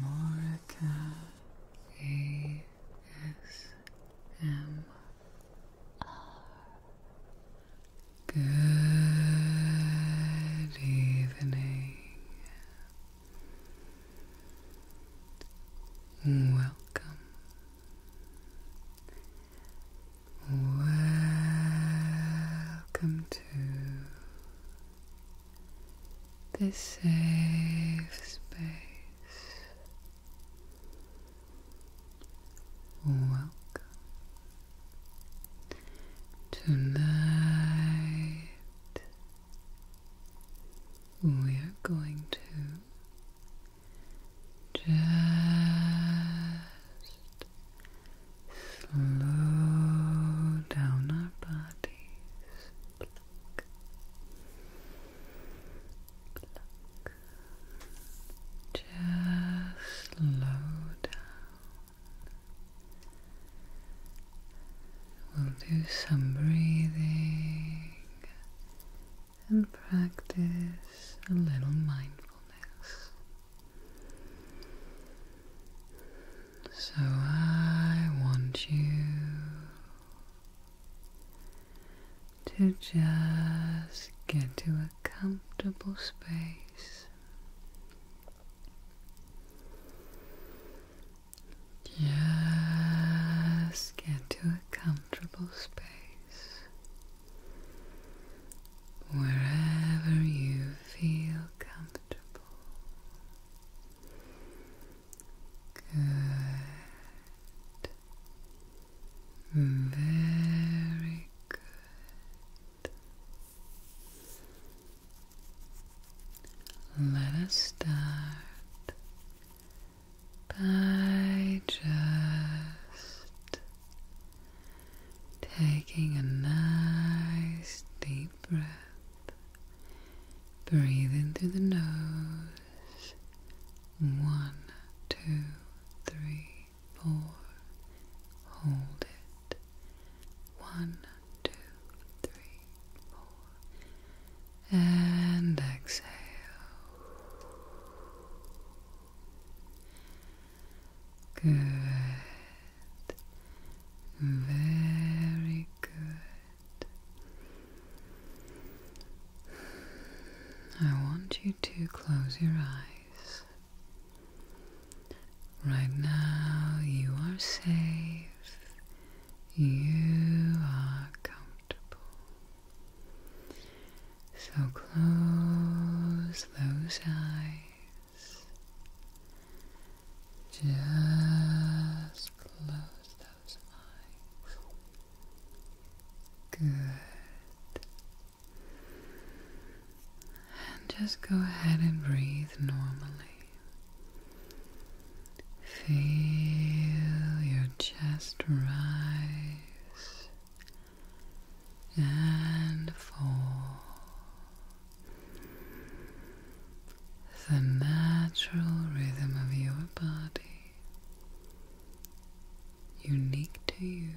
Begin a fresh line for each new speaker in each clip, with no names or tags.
Morika ASMR. Good evening. Welcome. Welcome to this safe space. tonight. We are going to just slow down our bodies just slow down. We'll do some breathing and practice a little mindfulness. So I want you to just get to a comfortable space. Just get to a comfortable space wherever you feel comfortable. Good. Very good. Let us start by just taking a nice deep breath. Breathe in through the nose. One, two, three, four. Hold it. One, two, three, four. And exhale. Good. Very good. I want you to close your eyes. Right now, you are safe. You are comfortable. So close those eyes. Just close those eyes. Good. And just go ahead and breathe normally. Feel your chest rise and fall the natural rhythm of your body, unique to you,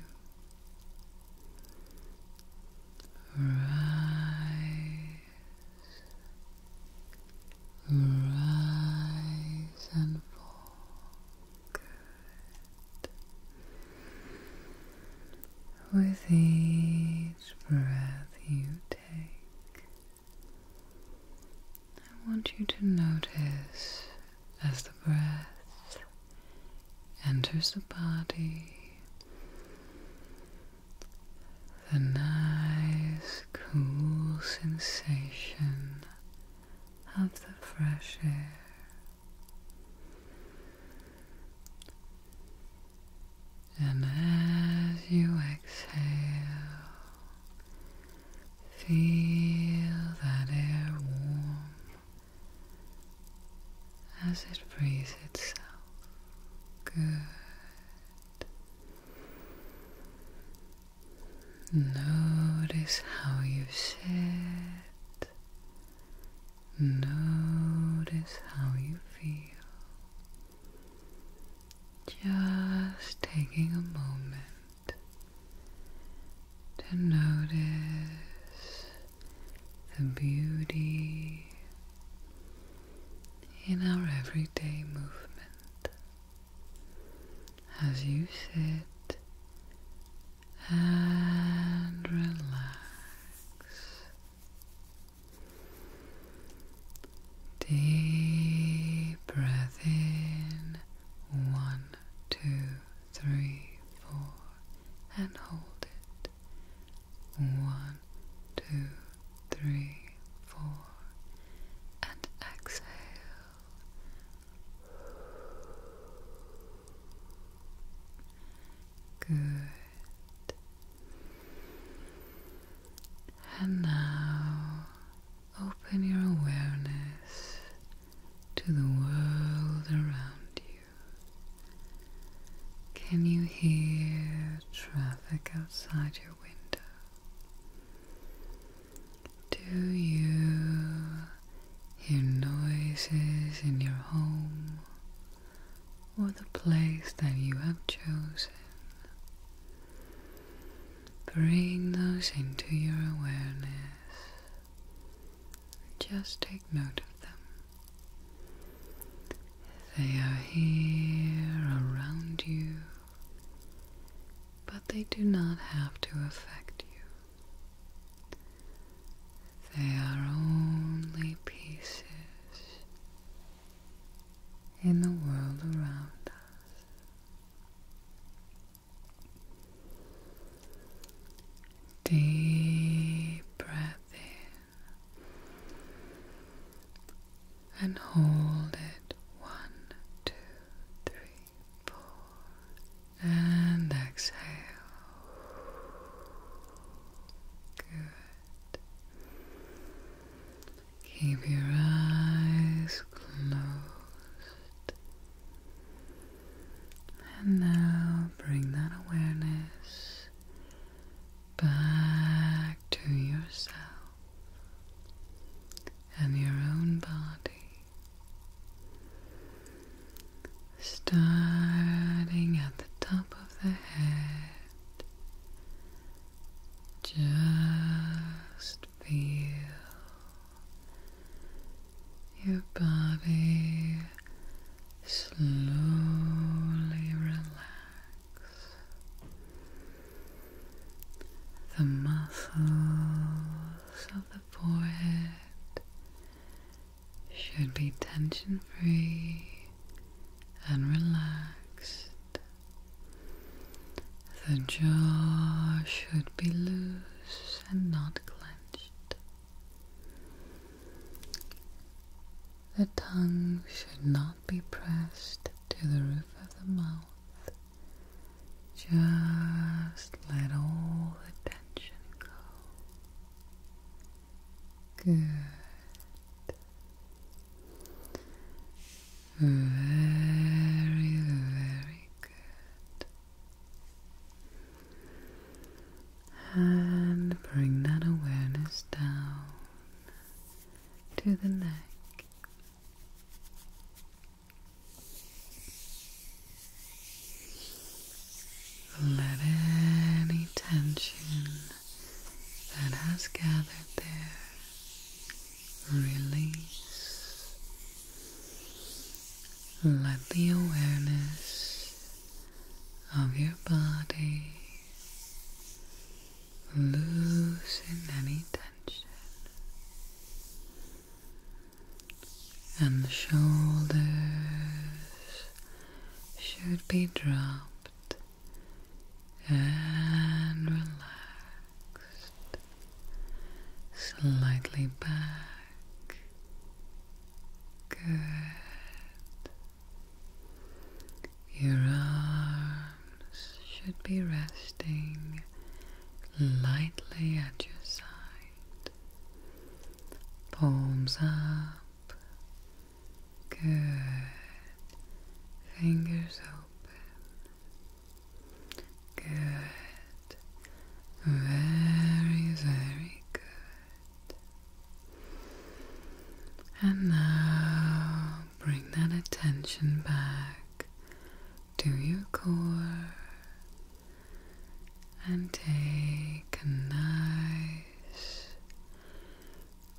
rise, rise and fall. Good each breath you take, I want you to notice as the breath enters the body the nice, cool sensation of the fresh air. And as you exhale, feel that air warm as it breathes itself. Good. Notice how you sit Notice how you feel. Just taking a moment to notice the beauty in our everyday movement as you sit and relax. Deep breath in one, two, three, four, and hold it one, two, three, four, and exhale. Good. And now open your awareness to the world around you. Can you hear traffic outside your window? Do you hear noises in your home or the place that you have chosen. Bring those into your awareness. Just take note of them. They are here around you, but they do not have to affect you. They are only pieces in the world around us. Deep breath in and hold it one, two, three, four, and exhale. Good. Keep your eyes closed. And now bring that awareness back to yourself and your own body starting at the top of the head. Just feel your body slowly relax. The muscles of the forehead should be tension free and relaxed. The jaw should be loose and not clenched. The tongue should not be pressed to the roof of the mouth. Just let all the tension go. Good. Very, very good. And bring that awareness down to the neck. Let any tension that has gathered there release. Let the awareness of your body loosen any tension and the shoulders should be dropped and relaxed slightly back. Good. Your arms should be resting lightly at your side palms up, good, fingers open, good, very, very good. And now bring that attention back to your core and take a nice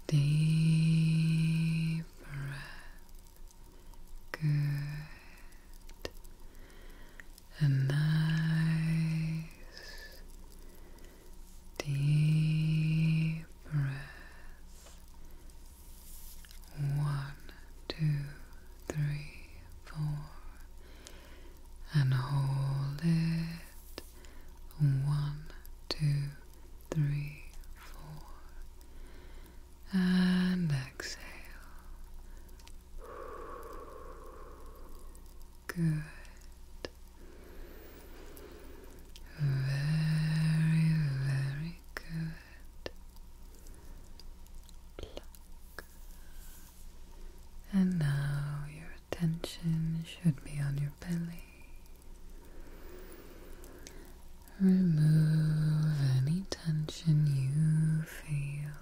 deep breath. Good. A nice deep breath. One, two, three, four and hold it one, two, three, four, and exhale. Good. Very, very good. Pluck, and now your attention should be on your belly. Remove any tension you feel,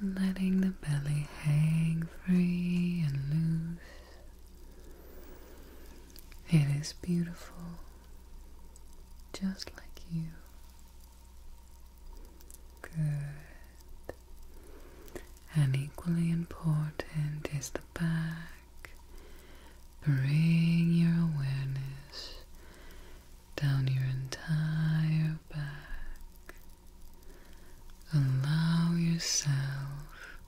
letting the belly hang free and loose. It is beautiful, just like you. Good. And equally important is the back. Bring your awareness down your entire back. Allow yourself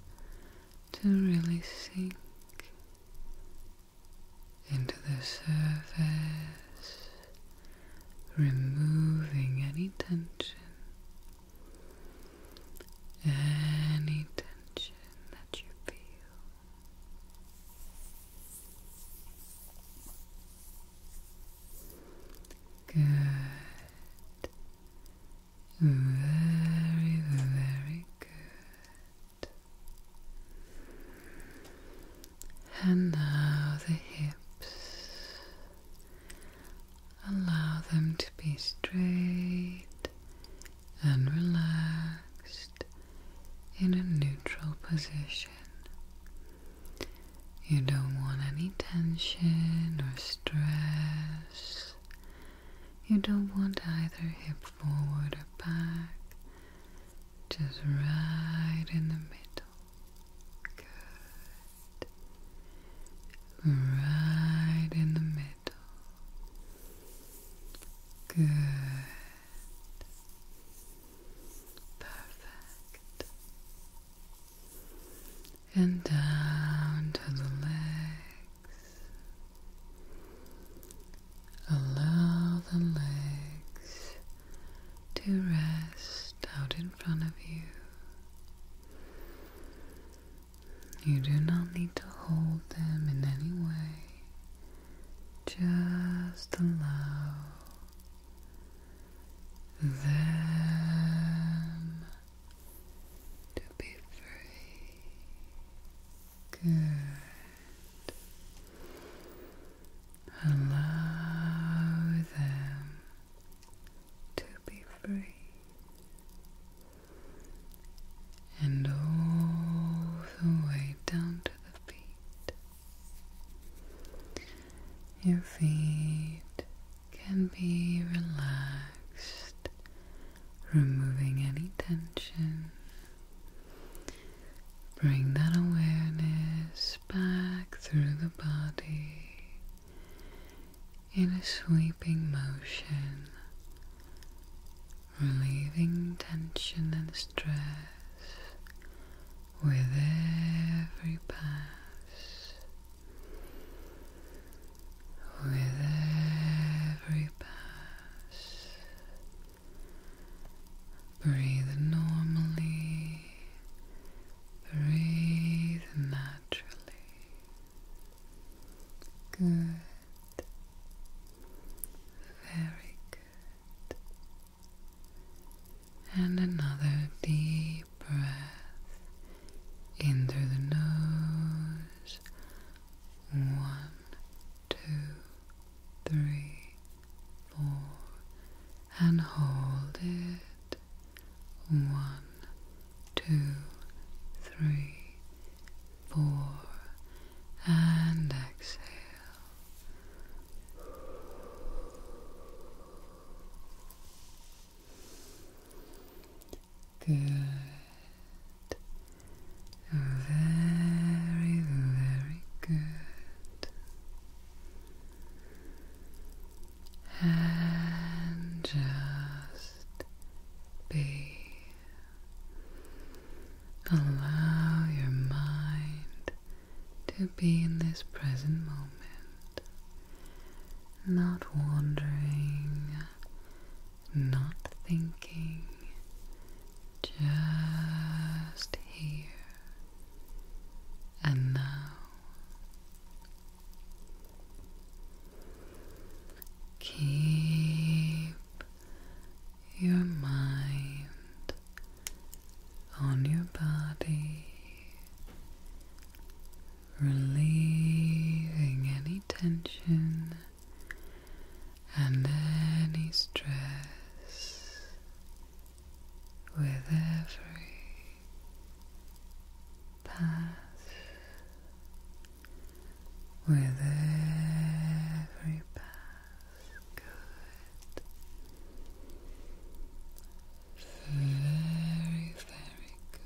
to really sink into the surface, removing any tension. Any tension that you feel. Good. Very, very good. And now the hips. Allow them to be straight and relaxed in a neutral position. You don't want any tension or stress. You don't want either hip forward or back just right in the middle. Good. Right in the middle. Good. Perfect. And down to the legs. Allow the legs to rest out in front of you. You do not need to hold them in any way. Just allow them to be free. Good. Allow them to be free. And all the way down to the feet. Your feet can be relaxed, removing any tension Bring that awareness back through the body in a sweeping motion, relieving tension and stress with every pass. With every pass, Breathe normally. Breathe naturally. Good. Very good. And another deep breath in through the nose. One, two, three, four, and hold it. One, two, three, four, and exhale. Good. Very, very good. And just be. Allow your mind to be in this present moment, not wandering, not thinking, just here and now. Keep your mind on your body, relieving any tension and any stress with every pass, with every pass. Good. Very, very good.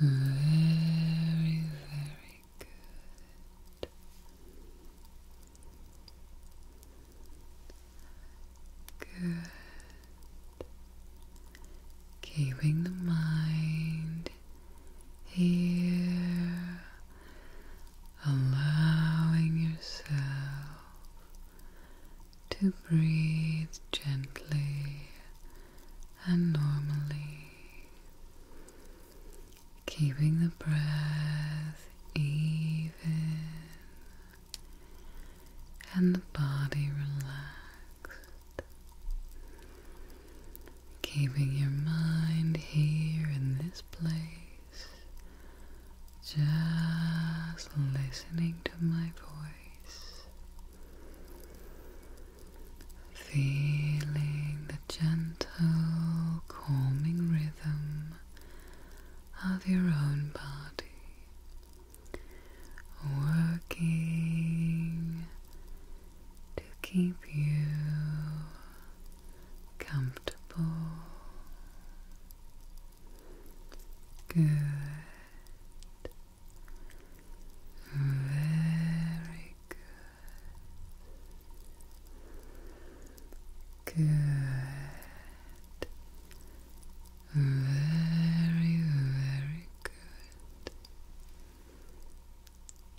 Very, very good. Good. Keeping the mind here, allowing yourself to breathe gently and normally. Keeping the breath even and the body relaxed. Keeping your mind here in this place, just listening to my voice Feeling the gentle, calming rhythm of your own body working to keep you comfortable. Good. Very good. Good. Very, very good.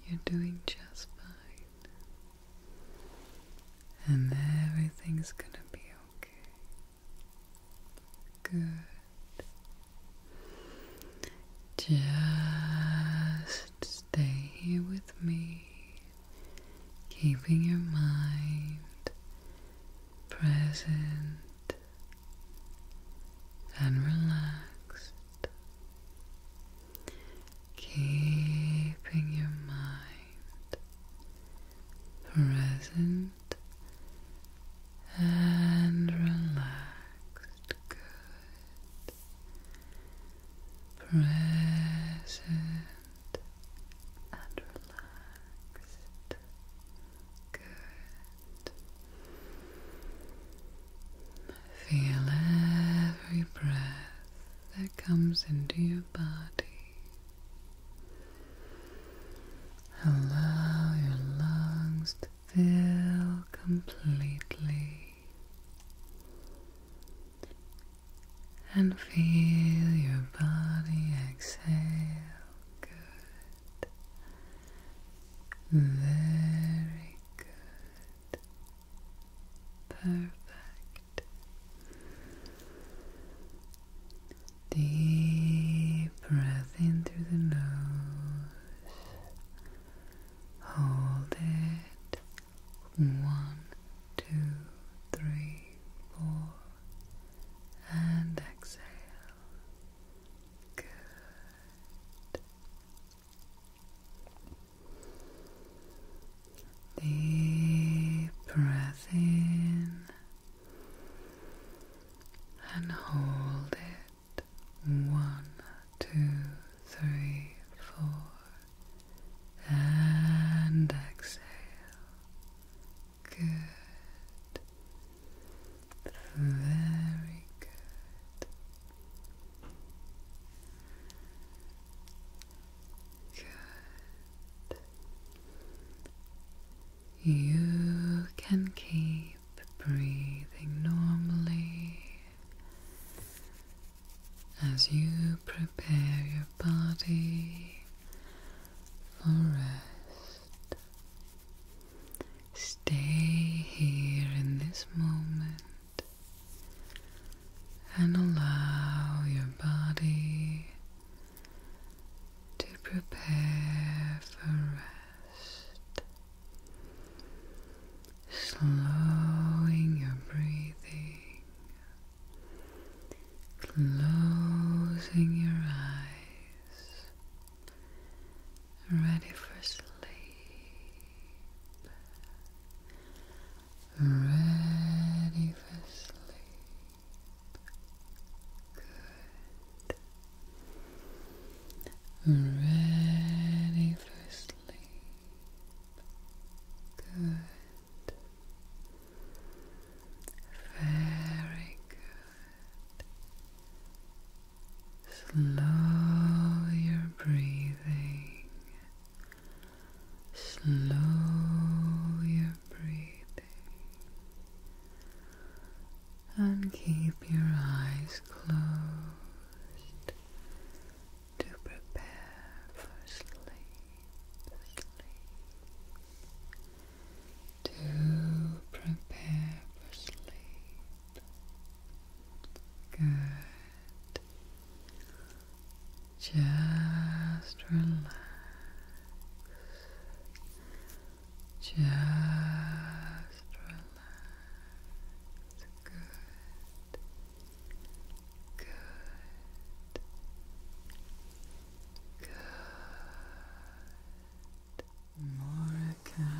You're doing just fine. And everything's gonna be okay. Good. Just stay here with me, keeping your mind present and relaxed. Keeping your mind present and relaxed. Good. Present and relaxed. Good. Feel every breath that comes into your body. Allow your lungs to fill completely and feel your body exhale. Good. Very good. Perfect. Deep breath in through the nose. Hold it. One, two, three, four. And exhale. Good. Deep breath in and hold it one, two, three, four, and exhale. Good, very good. Good. You can keep breathing normally as you prepare your body for rest. Stay here in this moment and allow your body to prepare for rest, slowing your breathing, closing your eyes, ready for sleep. Ready for sleep. Good. Ready for sleep. Good. Very good. Slow your breathing. Slow your breathing and keep your eyes closed to prepare for sleep, To prepare for sleep. Good. Just relax. Just relax. Good. Good. Good. Moraka